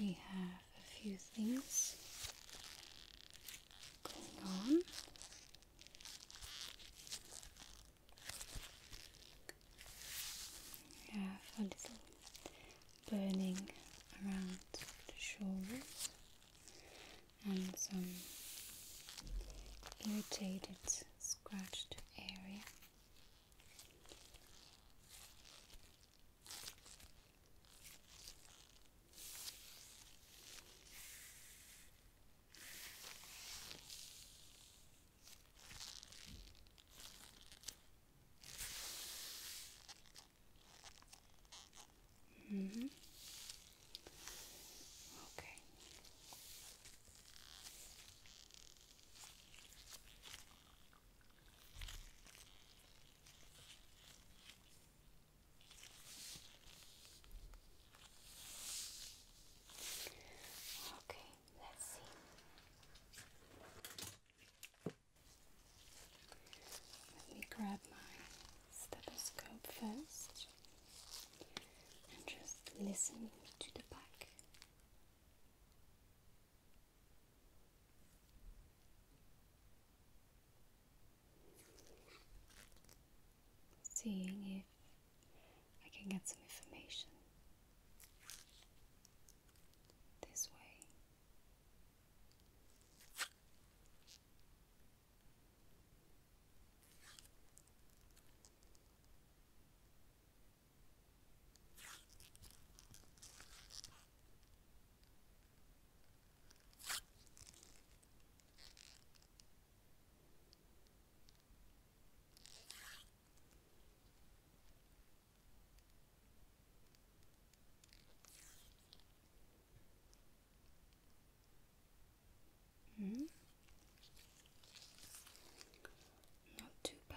We have a few things going on. We a little burning around the shoulders and some irritated, scratched area. Mm -hmm. Okay. Okay, let's let me grab my stethoscope first and just listen to the back. Seeing if I can get some information this way. Mm. Not too bad.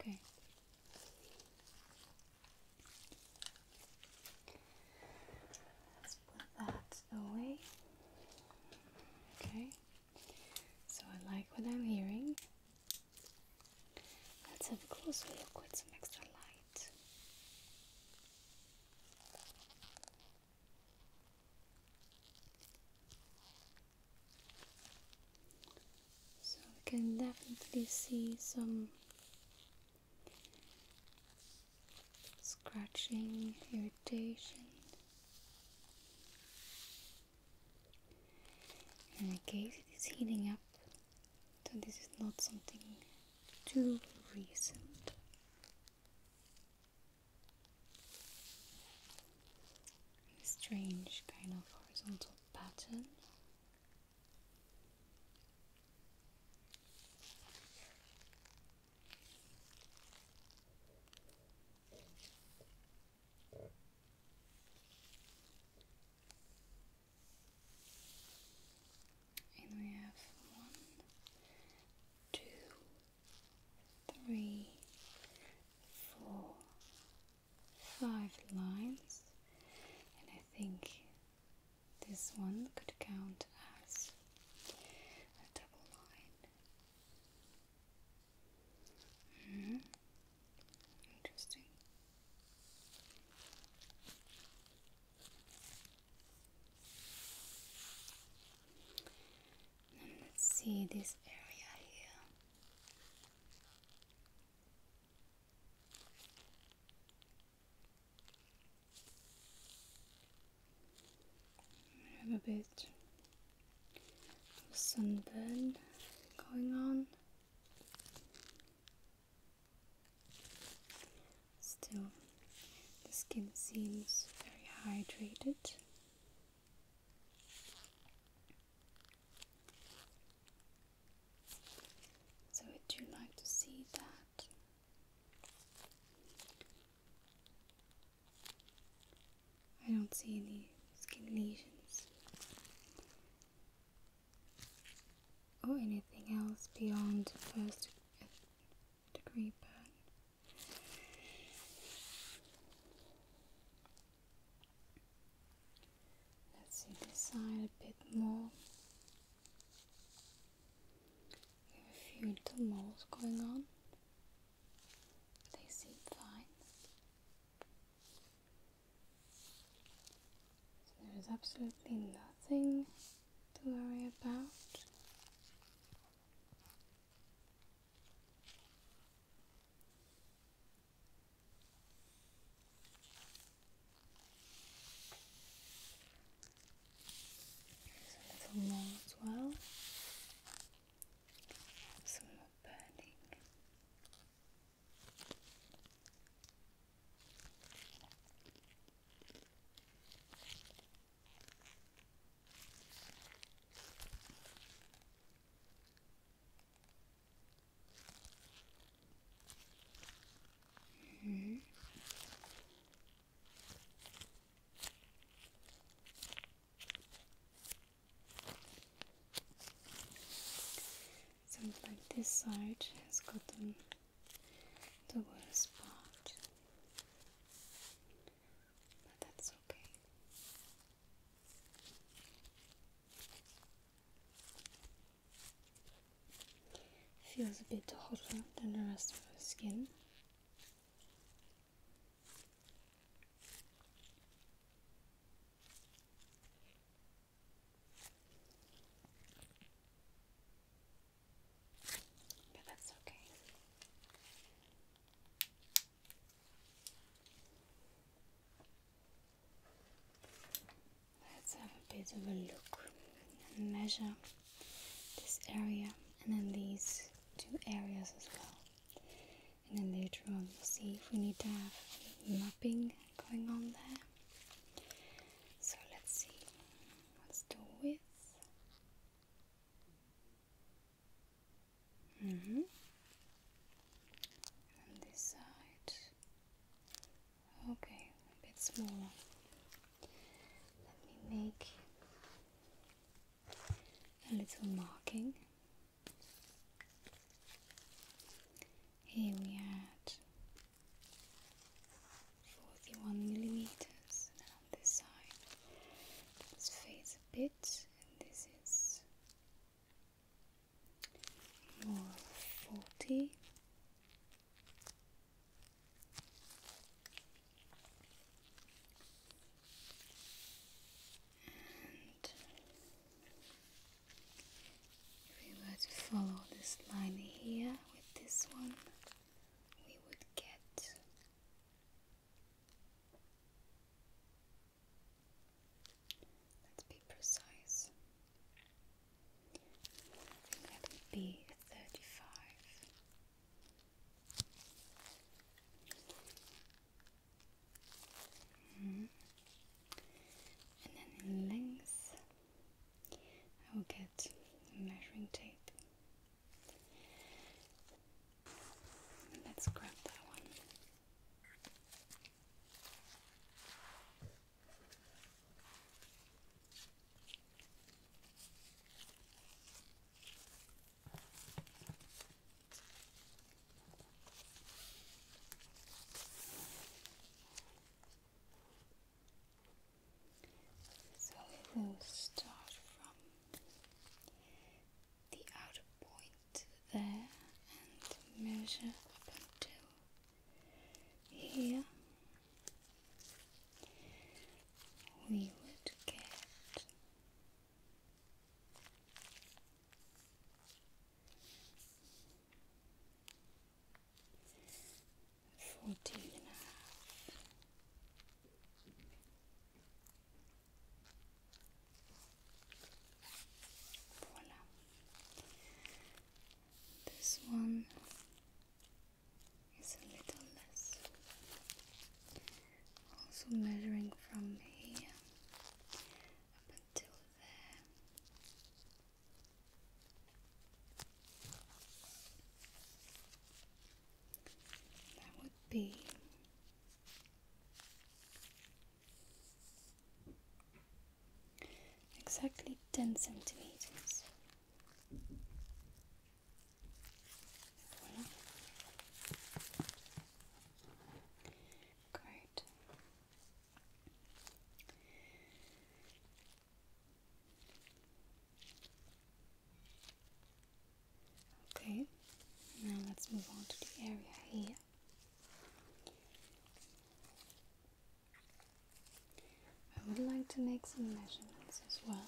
Okay. Let's put that away. Okay. So I like what I'm hearing. Let's have a closer look with some extra light. So we can definitely see some scratching, irritation in case it is heating up, so this is not something too recent. strange kind of horizontal pattern. And we have one, two, three, four, five lines, and I think this one could count as a double line. -hmm. Interesting. let's see this area here have a bit of sunburn going on. Still, the skin seems very hydrated. So, would you like to see that? I don't see any skin lesions or anything else beyond first degree burn. Let's see this side a bit more. We have a few little moles going on. They seem fine. there is absolutely nothing to worry about. There's a little more as well. Some more burning. -hmm. Sounds like this side has got the worst part, but that's okay. Feels a bit hotter than the rest of the skin. But that's okay. Let's have a bit of a look and measure this area and then these two areas as well. And then later on we'll see if we need to have mapping going on there. So let's see. Let's do width. Mm -hmm. And this side. Okay, a bit smaller. Let me make a little marking. Here we are 41 millimeters, on this side, this fades a bit, and this is more 40 if we were to follow this line here with this one, we would get let's be precise. That would be thirty-five. Mm-hmm. And then in length, I will get the measuring tape. Let's grab that one. So we will start from the outer point there and measure up until here we would get fourteen and a half. Voila. This one it's a little less. Also measuring from here up until there. That would be exactly ten centimeters. Great. Okay, now let's move on to the area here. I would like to make some measurements as well.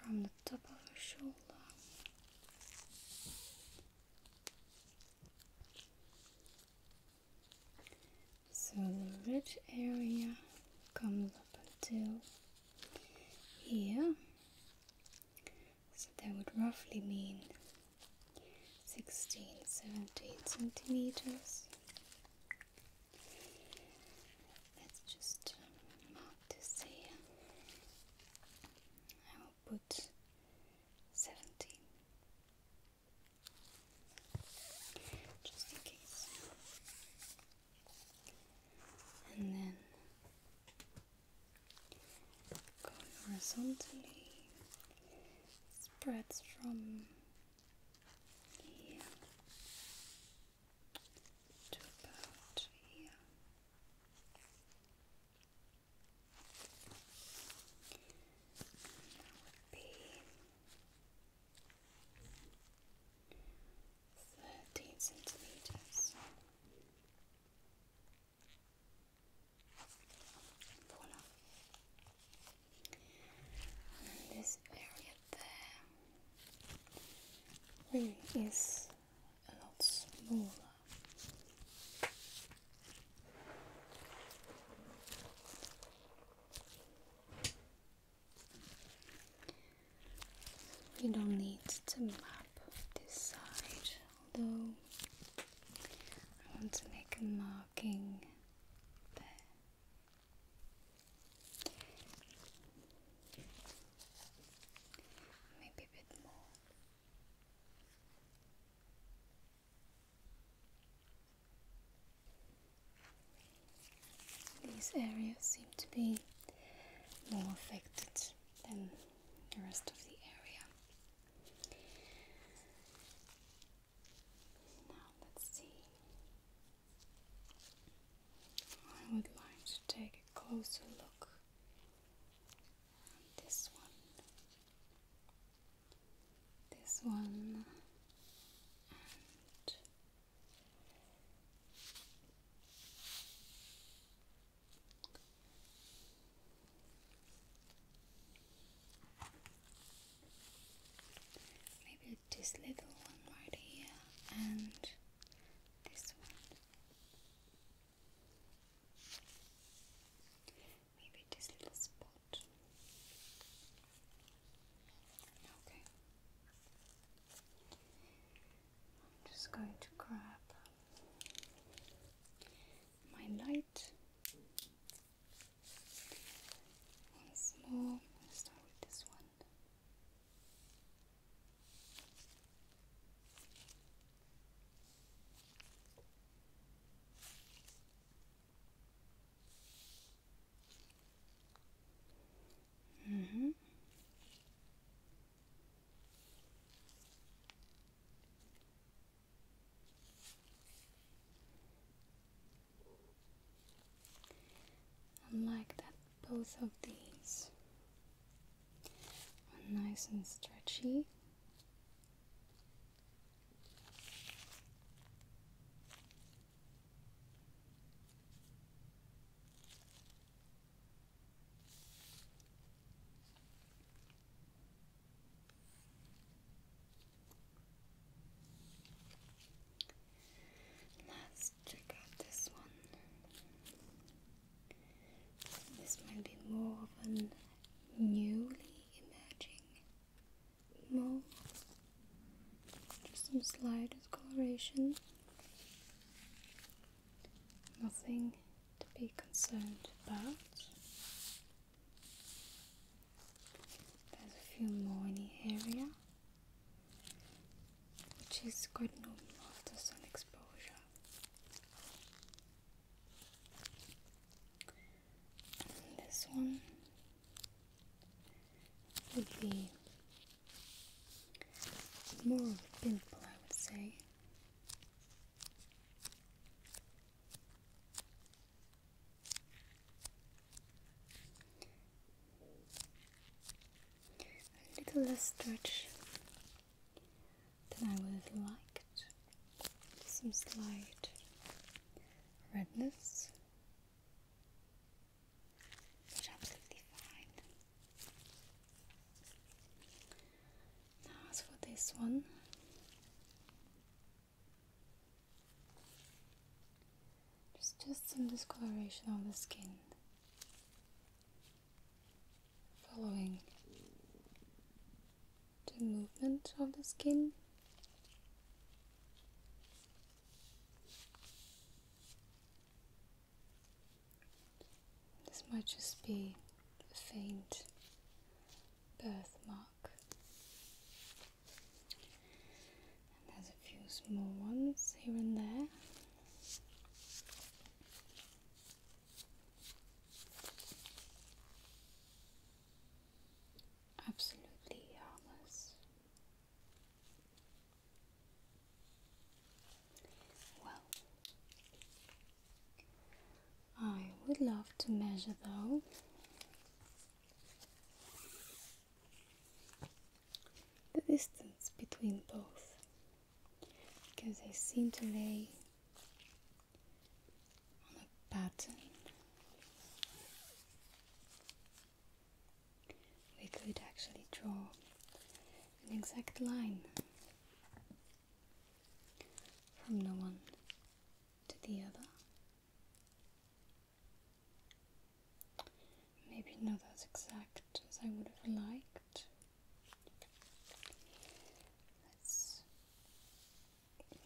From the top of your shoulder so the ridge area comes up until here so that would roughly mean 16, 17 centimeters. Let's just um, mark this here. I will put 17. Just in case. And then horizontally, spreads from here to about here. That would be thirteen centimeters. Puna. this area there really is a lot smaller. You don't need to map this side, although I want to make a marking there. Maybe a bit more. These areas seem to be more affected than the rest of the area. Now let's see. I would like to take a closer look this one. This one Maybe this little one right here and this one. Maybe this little spot. Okay. I'm just going to grab my light. Once more, start with this one. Mm -hmm. Unlike that both of these are nice and stretchy. Let's check out this one. This might be more of a newly emerging Just some slight discoloration. Nothing to be concerned about. There's a few more in the area, which is quite normal after sun exposure. this one would be more of a pimple, I would say. A little less stretch than I would have liked. Some slight redness, but absolutely fine. Now, as for this one, there's just some discoloration on the skin following the movement of the skin. This might just be a faint birthmark. there's a few small ones here and there. Absolutely harmless. Well, I would love to measure though. The distance between both because they seem to lay on a pattern. We could actually draw an exact line from the one to the other. Maybe not as exact as I would have liked. Let's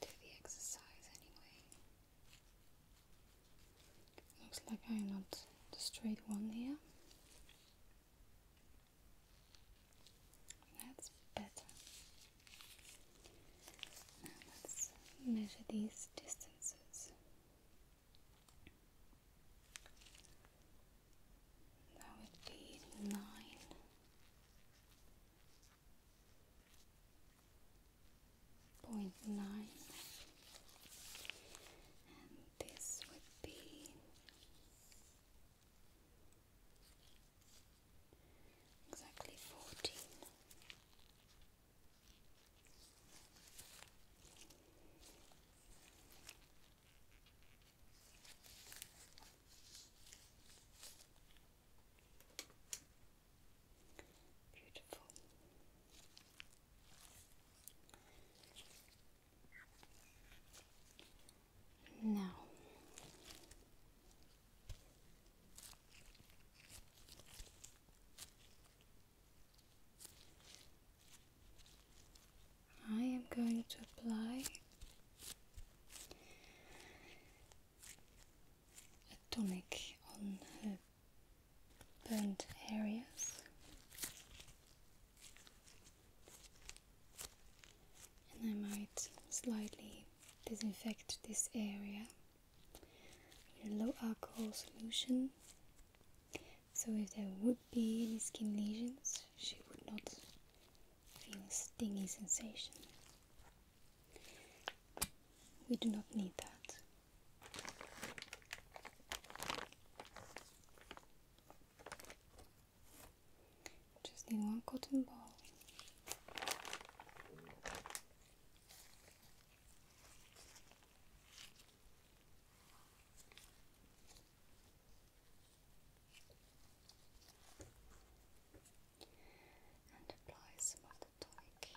do the exercise anyway. Looks like I'm not the straight one here. That's better. let's measure these distances. That would be nine. and this would be Exactly fourteen. Beautiful. No. I am going to apply a tonic on her burnt areas and I might slightly disinfect this area with a low alcohol solution so if there would be any skin lesions she would not feel a stinging sensation we do not need that just need one cotton ball. And apply some of the tonic.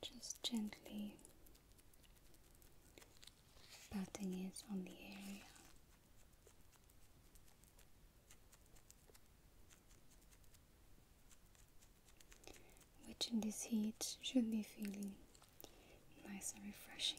Just gently patting it on the area. Which in this heat should be feeling nice and refreshing.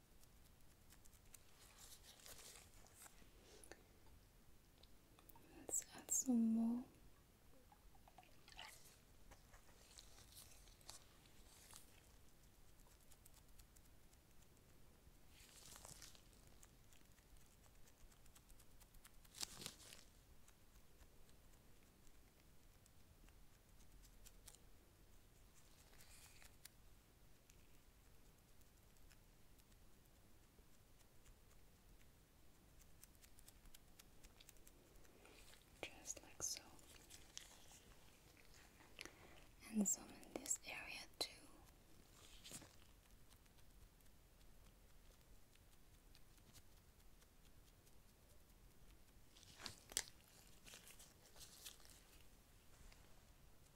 Let's add some more. Just like so, and some in this area too.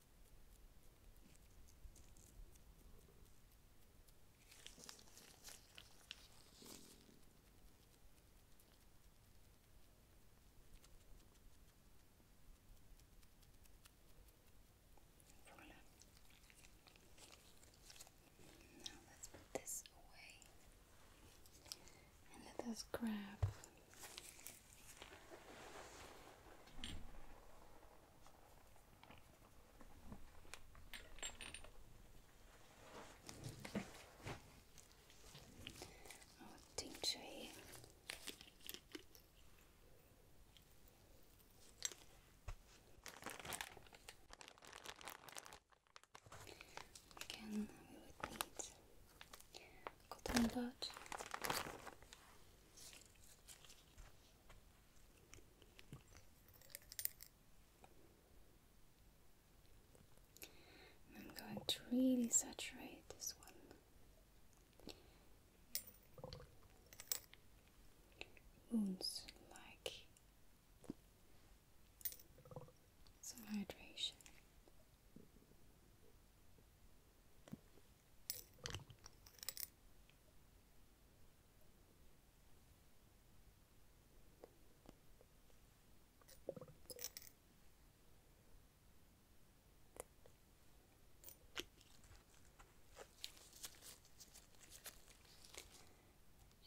Voilà. Now let's put this away and let us grab Oh, Ding Again, we would need cotton bud, I'm going to really saturate this one. Wounds like some hydration.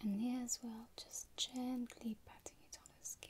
And here as well, just gently patting it on her skin.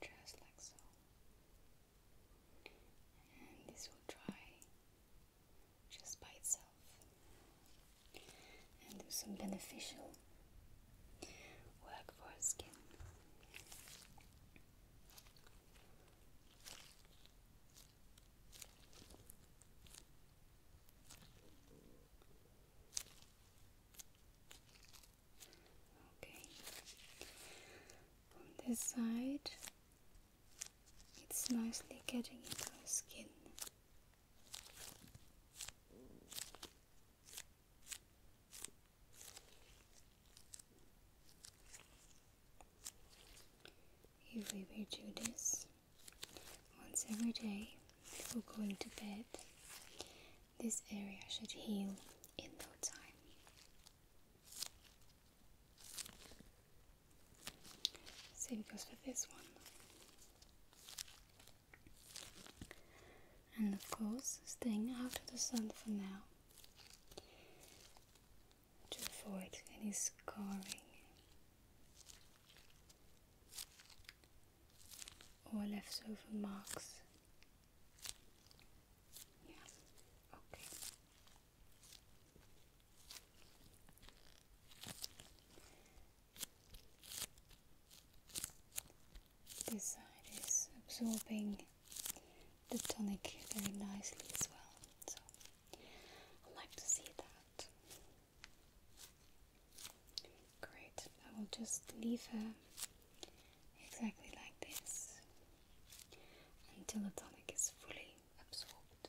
just like so and this will dry just by itself and do some beneficial work for skin Okay. On this side, it's nicely getting into the skin. If we will do this once every day before going to bed, this area should heal in no time. Same goes for this one. And of course, staying out of the sun for now to avoid any scarring or leftover marks. Yeah, okay. This side is absorbing the tonic very nicely as well, so I'd like to see that. Great, I will just leave her exactly like this until the tonic is fully absorbed.